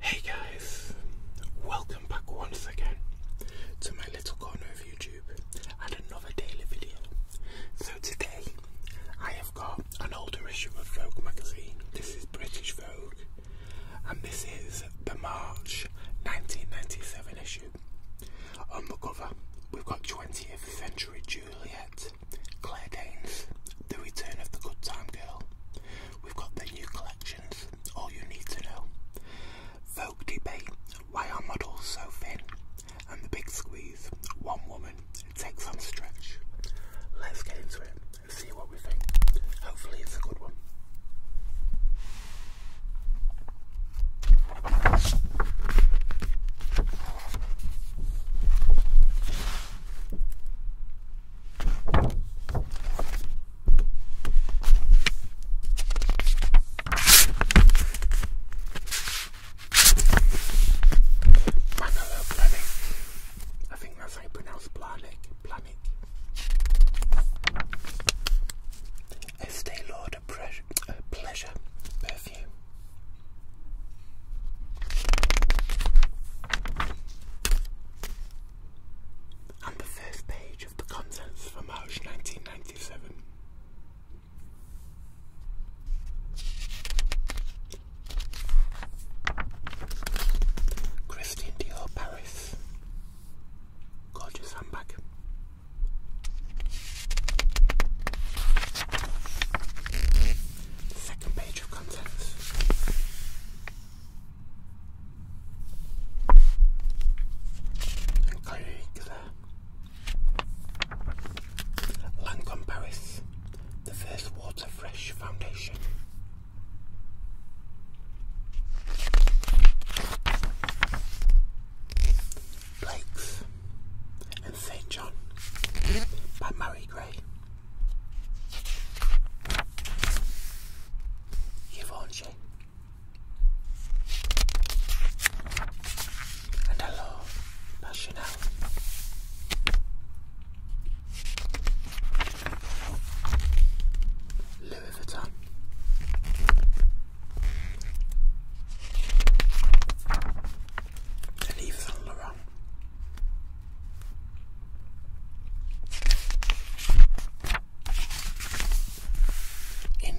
Hey guys, welcome back once again to my little corner of YouTube and another daily video. So today I have got an older issue of Vogue magazine. This is British Vogue and this is the March 1997 issue. On the cover, we've got 20th Century Juliet, Claire Danes, The Return of the Good Time Girl. We've got the new collections, All You Need to Know, Vogue Debate, Why Are Models So Thin? And The Big Squeeze, One Woman Takes some Stretch. Let's get into it and see what we think. Hopefully, it's a good one. Planet. I think that's how you pronounce planet. Planet. Estee Lauder a, pleasure perfume. And the first page of the contents for March 1997. Christine Dior Paris. Gorgeous handbag. Second page of contents. Including Lancome Paris, the first water fresh foundation. Blake's and St. John by Murray Gray. Givenchy. And Hello by Louis Vuitton and Yves Saint Laurent. In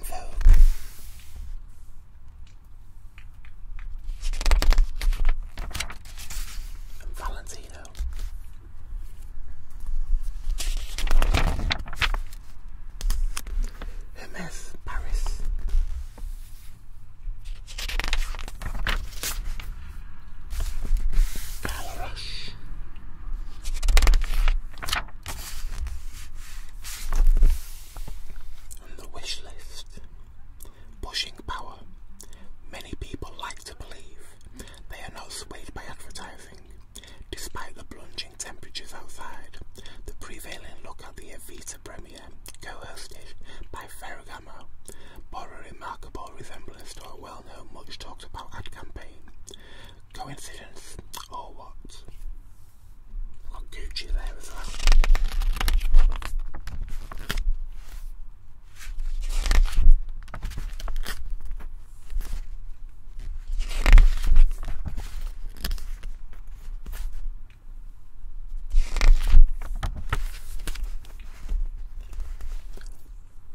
Valentino. M.S. Paris. Carla Rush. the wish list, pushing power. Many people like to believe they are not swayed by advertising, despite the plunge temperatures outside, the prevailing look at the Evita premiere, co-hosted by Ferragamo, bore a remarkable resemblance to a well-known, much-talked-about ad campaign. Coincidence or what? Got Gucci there as well.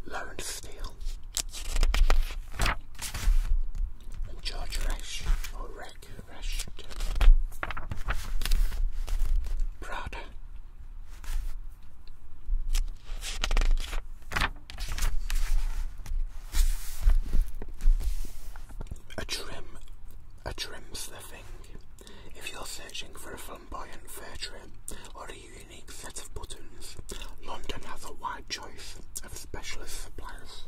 Lauren Steele and George Resch or Rick Resch Prada a trim, a trim's the thing. If you're searching for a flamboyant fur trim or a unique set of buttons, London has a wide choice of specialist suppliers.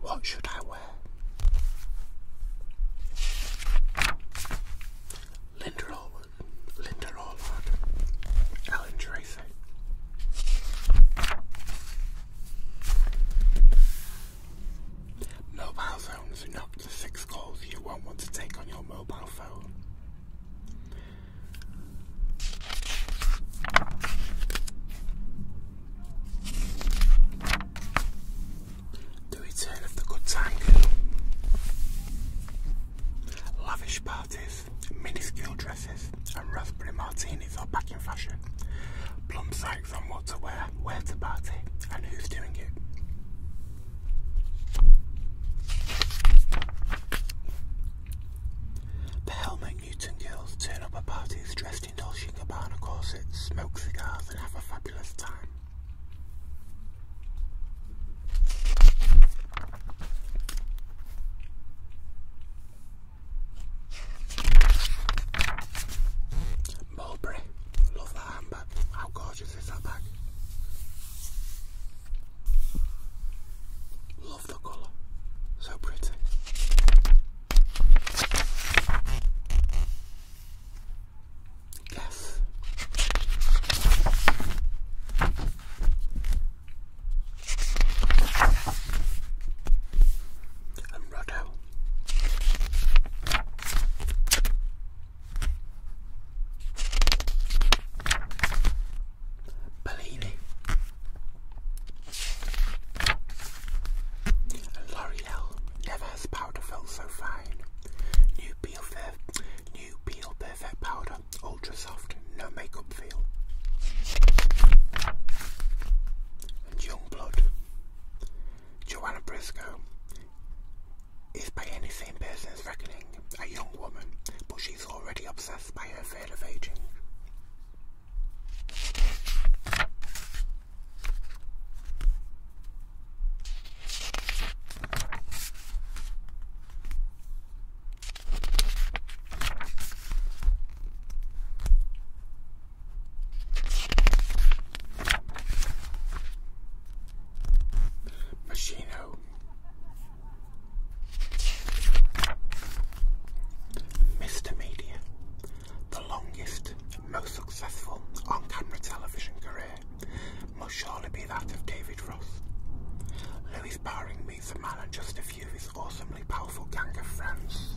What should I wear? Linda Allwood, Linda Tracy. Mobile phones are not six calls you won't want to take on your mobile phone. The return of the good time. Lavish parties, miniskirt dresses, and raspberry martinis are back in fashion. Plum side from what to wear, where to party, and who's doing it. The Helmet Newton girls turn up at parties dressed in Dolce & Gabbana corsets, smoke cigars and have a fabulous time. Mulberry. Love that handbag. How gorgeous is that bag? Love the colour. So pretty. Yes. And Roddo. Bellini L'Oreal never has powder felt so fine. New peel, new peel powder, ultra soft, no makeup feel. And young blood. Joanna Briscoe is by any sane person's reckoning a young woman, but she's already obsessed by her fear of aging. Machino Mr. Media, the longest, most successful on camera television career, must surely be that of David Ross. Louis Baring meets a man and just a few is awesome extremely powerful gang of friends.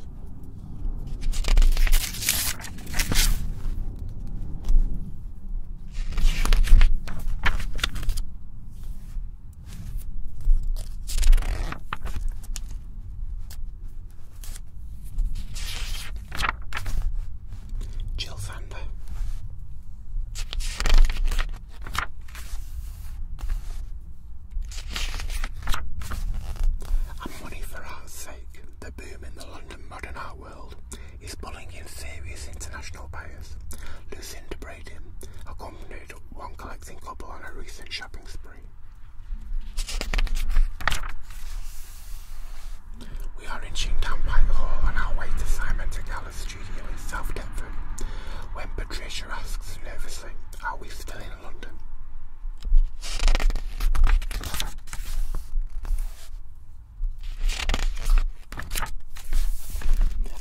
Thunder. And money for art's sake, the boom in the London modern art world is pulling in serious international buyers. Lucinda Braden accompanied one collecting couple on a recent shopping spree. We are inching down Whitehall on our way to Simon Tagala's studio in South Deptford when Patricia asks nervously, Are we still in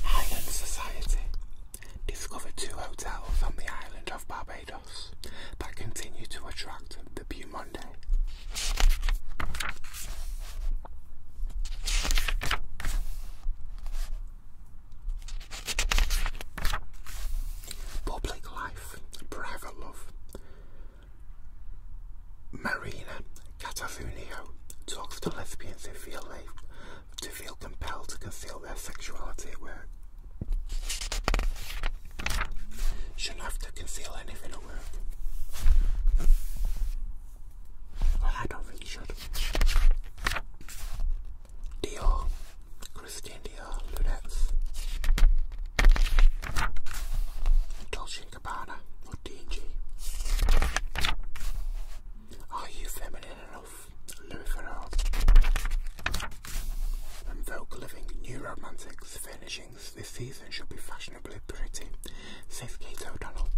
Island Society discovered two hotels on the island of Barbados that continue to attract the Beaumonde. Public life, private love. Marina Catafunio talks to lesbians if they feel they to feel compelled to conceal their sexuality at work. Shouldn't have to conceal anything at work. Well, I don't think you should. Dior, Christian Dior, Lunettes, Dolce & Gabbana D&G. Are You Feminine Enough, Louis Farrell. And Vogue Living New Romantics furnishings this season should be fashionably pretty, says Kate O'Donnell.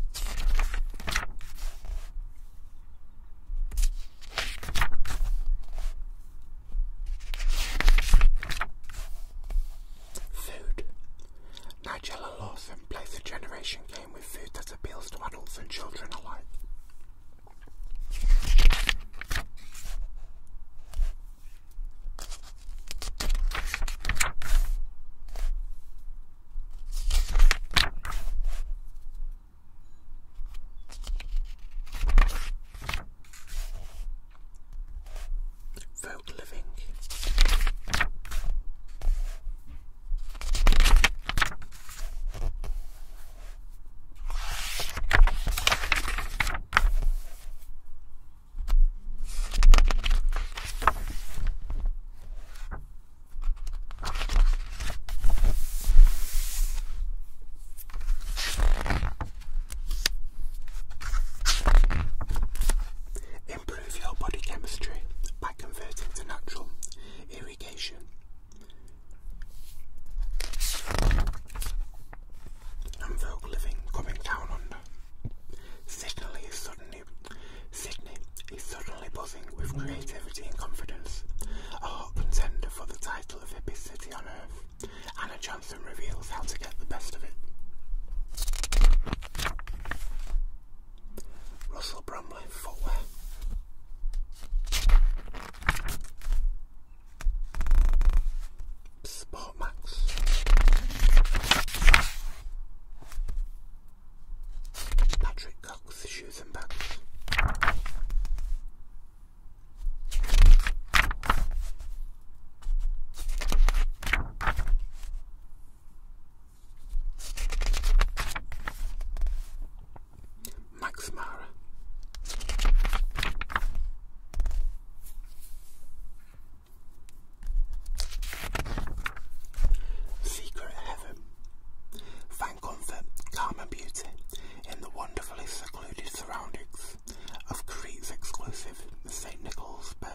Food. Nigella Lawson plays a generation game with food that appeals to adults and children alike. Vote living. Improve your body chemistry by converting to natural irrigation. And vogue living coming down under. Sydney is suddenly Sydney is suddenly buzzing with creativity and confidence. A hot contender for the title battle of hippie city on Earth. Anna Johnson reveals how to get the best of it. Russell Bromley Footwear. Sportmax. Patrick Cox Shoes and Bags. Max Mara. Secret Heaven. Thank God Calm and Beauty in the wonderfully secluded surroundings of Crete's exclusive Saint Nicholas Bay.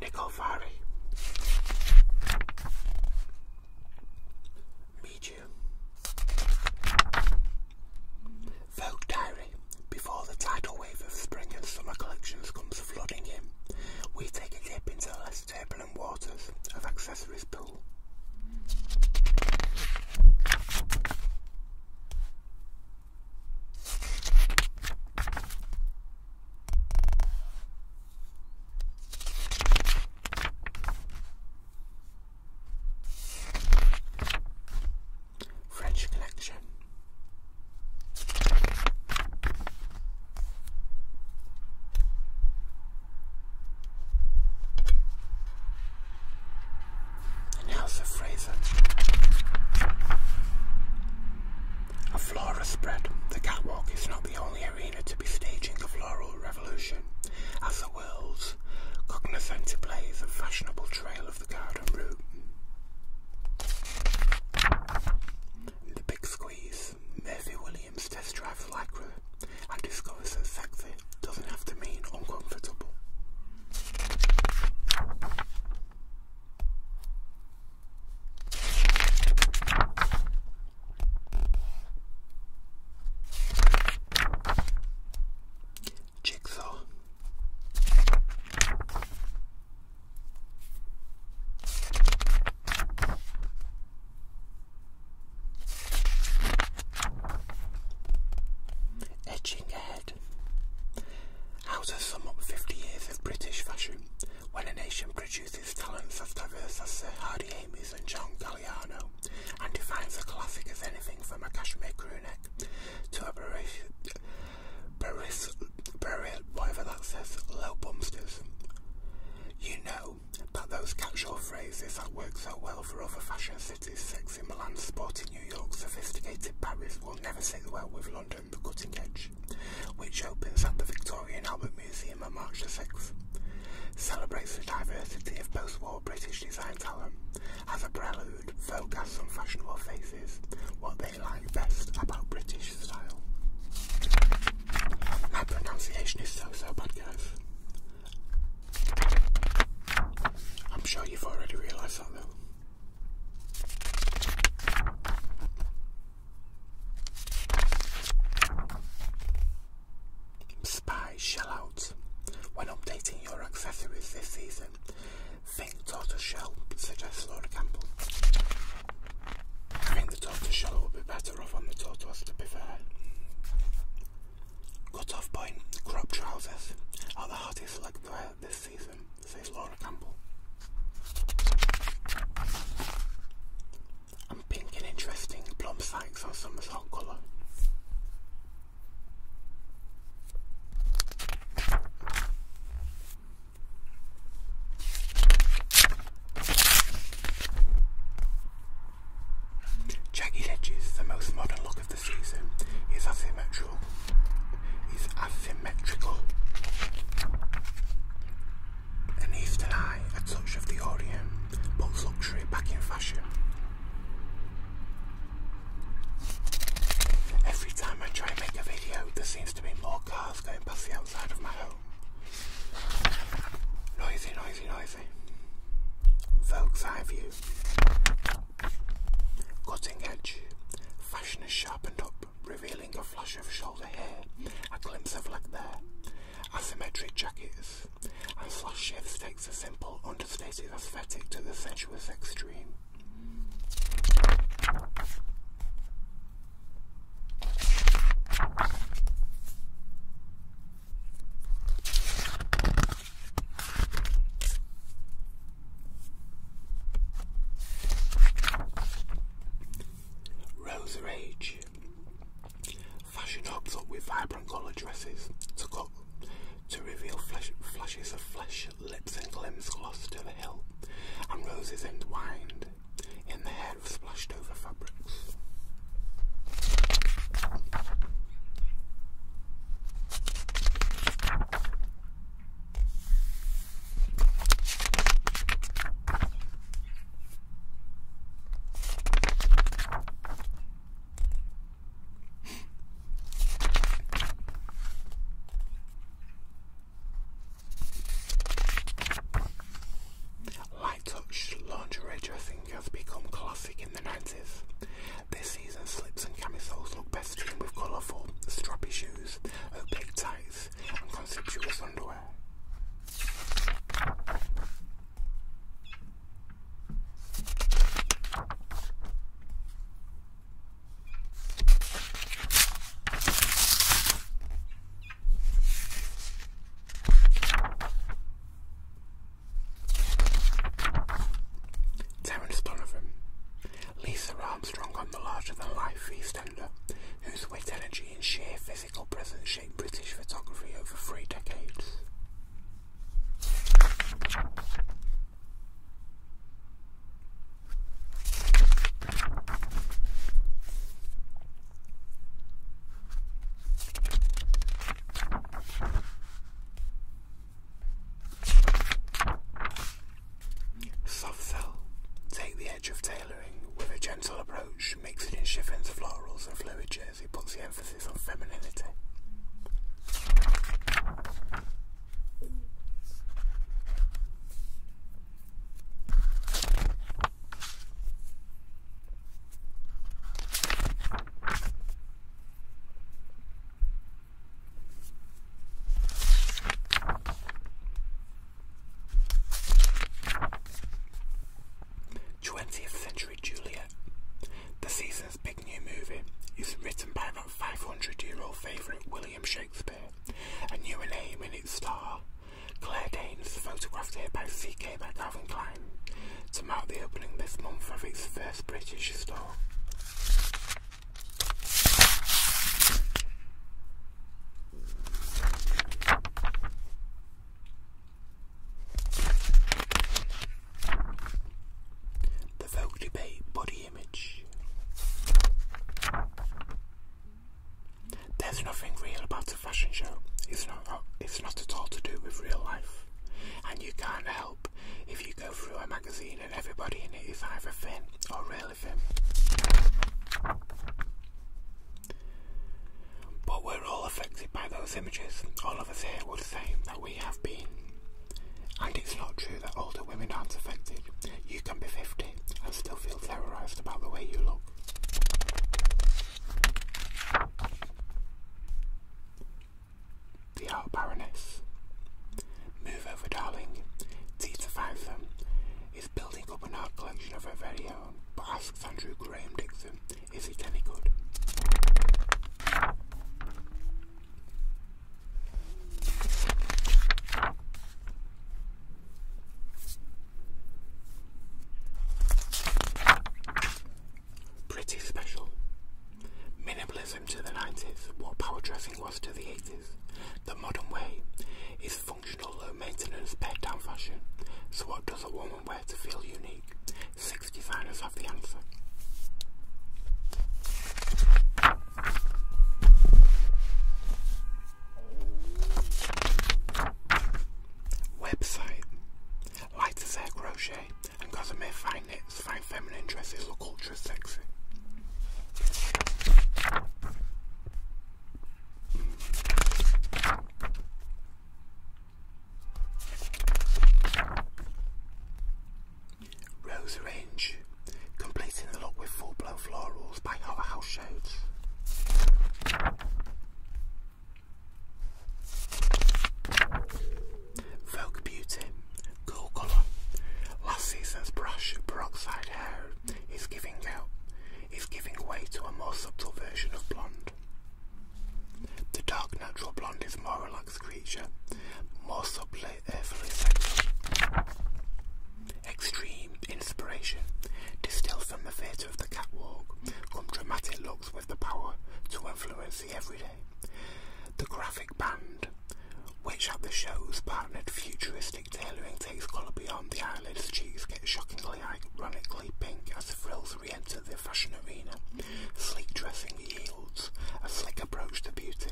Nicovari Medium Vogue Diary. Before the tidal wave of spring and summer collections comes flooding in, we take a dip into the less turbulent waters of Accessories Pool. French Collection. And House of Fraser. A floral spread. The catwalk is not the only arena to be staging a floral revolution, as the world's cognizant plays a fashionable trail of the garden route. the big squeeze, Murphy Williams test drives Lycra and discovers that sexy doesn't have to mean uncomfortable jigsaw. Edging ahead. How to sum up 50 years of British fashion when a nation produces talents as diverse as Sir Hardy Amies and John Galliano and defines a classic as anything from a cashmere crew to a Paris, Paris, whatever that says, low bumpsters. You know that those catch-all phrases that work so well for other fashion cities, sexy Milan, sporty New York, sophisticated Paris, will never sit well with London, the cutting edge, which opens at the Victorian Albert Museum on March the 6th celebrates the diversity of post-war British design talent, has a prelude focus on fashionable faces, what they like best about British style. My pronunciation is so so bad, guys. I'm sure you've already realised that, though. Spy shell out. When updating your accessories this season, um, think tortoiseshell, suggests Laura Campbell. I think the tortoiseshell will be better off on the tortoise, to be Cut off point, crop trousers are the hottest leg this season, says Laura Campbell. i pink and interesting plum sights on summer's hot colour. Jagged edges, the most modern look of the season, is asymmetrical. Is asymmetrical. An eastern eye, a touch of the Orient, puts luxury back in fashion. Every time I try and make a video, there seems to be more cars going past the outside of my home. Noisy, noisy, noisy. Vogue's eye view. Cutting edge. Fashion is sharpened up, revealing a flash of shoulder hair, a glimpse of leg there, asymmetric jackets, and slash shifts takes a simple, understated aesthetic to the sensuous extreme. Rose Rage. Fashion hubs up with vibrant colour dresses to cut to reveal flesh, flashes of flesh, lips and limbs gloss to the hilt, and roses entwined in the hair of splashed over fabrics. Light touch lingerie dressing has become classic in the 90s. This season, slips and camisoles look best teamed with colourful, strappy shoes, opaque tights, and conspicuous underwear. Terence Donovan, Lisa Armstrong on the larger-than-life Eastender, whose wit, energy and sheer physical presence shaped British photography over three decades. Soft cell Take the edge of tailoring with a gentle approach, mix it in chiffons, florals, and fluid jersey, puts the emphasis on femininity. Twentieth century Juliet. The seasons big new movie is written by that 500 year old favourite William Shakespeare A new a name in its star. Claire Danes, photographed here by CK by Calvin Klein, to mark the opening this month of its first British store. The Vogue debate body image. There's nothing real about a fashion show. It's not. Uh, it's not at all to do with real life, and you can't help if you go through a magazine and everybody in it is either thin or really thin. But we're all affected by those images. All of us here would say that we have been. And it's not true that older women aren't affected. You can be 50 and still feel terrorised about the way you look. The Art Baroness. Move over, darling. Tita Fison is building up an art collection of her very own, but asks Andrew Graham Dixon, is it any good? Pretty special. Minimalism to the 90s, what power dressing was to the 80s. The modern way is functional, low maintenance, pared down fashion. So, what does a woman wear to feel unique? six designers have the answer. Website Light as Air Crochet and Cosmere Fine Knits find feminine dresses look ultra sexy. Rose Range, completing the look with full-blown florals by Hotter House Shades. Vogue Beauty, cool colour. Last season's brush peroxide hair is giving out, is giving way to a more subtle version of blonde. The dark natural blonde is more Extreme inspiration, distilled from the fate of the catwalk, come dramatic looks with the power to influence the everyday. The graphic band, which at the show's partnered futuristic tailoring takes colour beyond the eyelids, cheeks get shockingly ironically pink as the frills re-enter the fashion arena, sleek dressing yields a slick approach to beauty.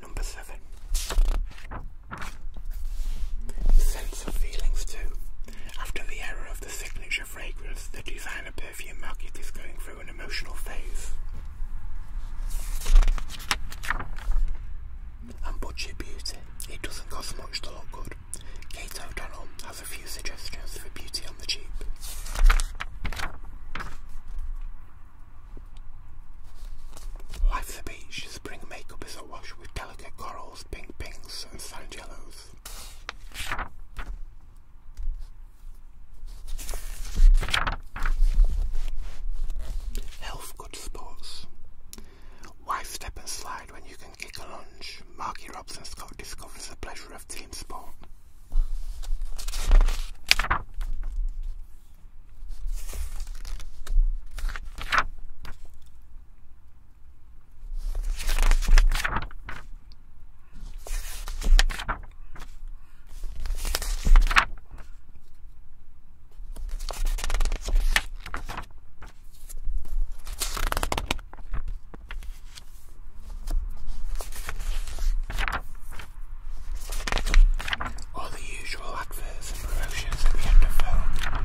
Number seven. Sense of feelings too. After the era of the signature fragrance, the designer perfume market is going through an emotional phase. And budget beauty. It doesn't cost much to look good. Kate O'Donnell has a few suggestions for beauty on the cheap. Like the beach, spring makeup is awash with delicate corals, pink pinks and sand yellows. Health good sports. Why step and slide when you can kick a lunge? Marky Robson Scott discovers the pleasure of team sport. All the usual adverts and promotions at the end of film.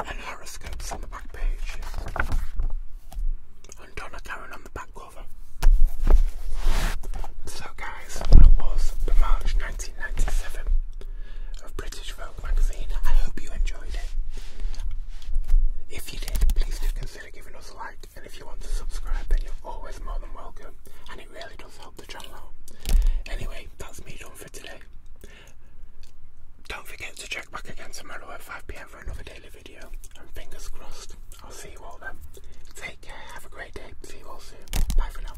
And horoscopes on the back page. And Donna Karen on the back cover. So guys, that was the March 1997 of British I hope you enjoyed it. If you did, please do consider giving us a like, and if you want to subscribe, then you're always more than welcome, and it really does help the channel out. Anyway, that's me done for today. Don't forget to check back again tomorrow at 5pm for another daily video, and fingers crossed, I'll see you all then. Take care, have a great day, see you all soon. Bye for now.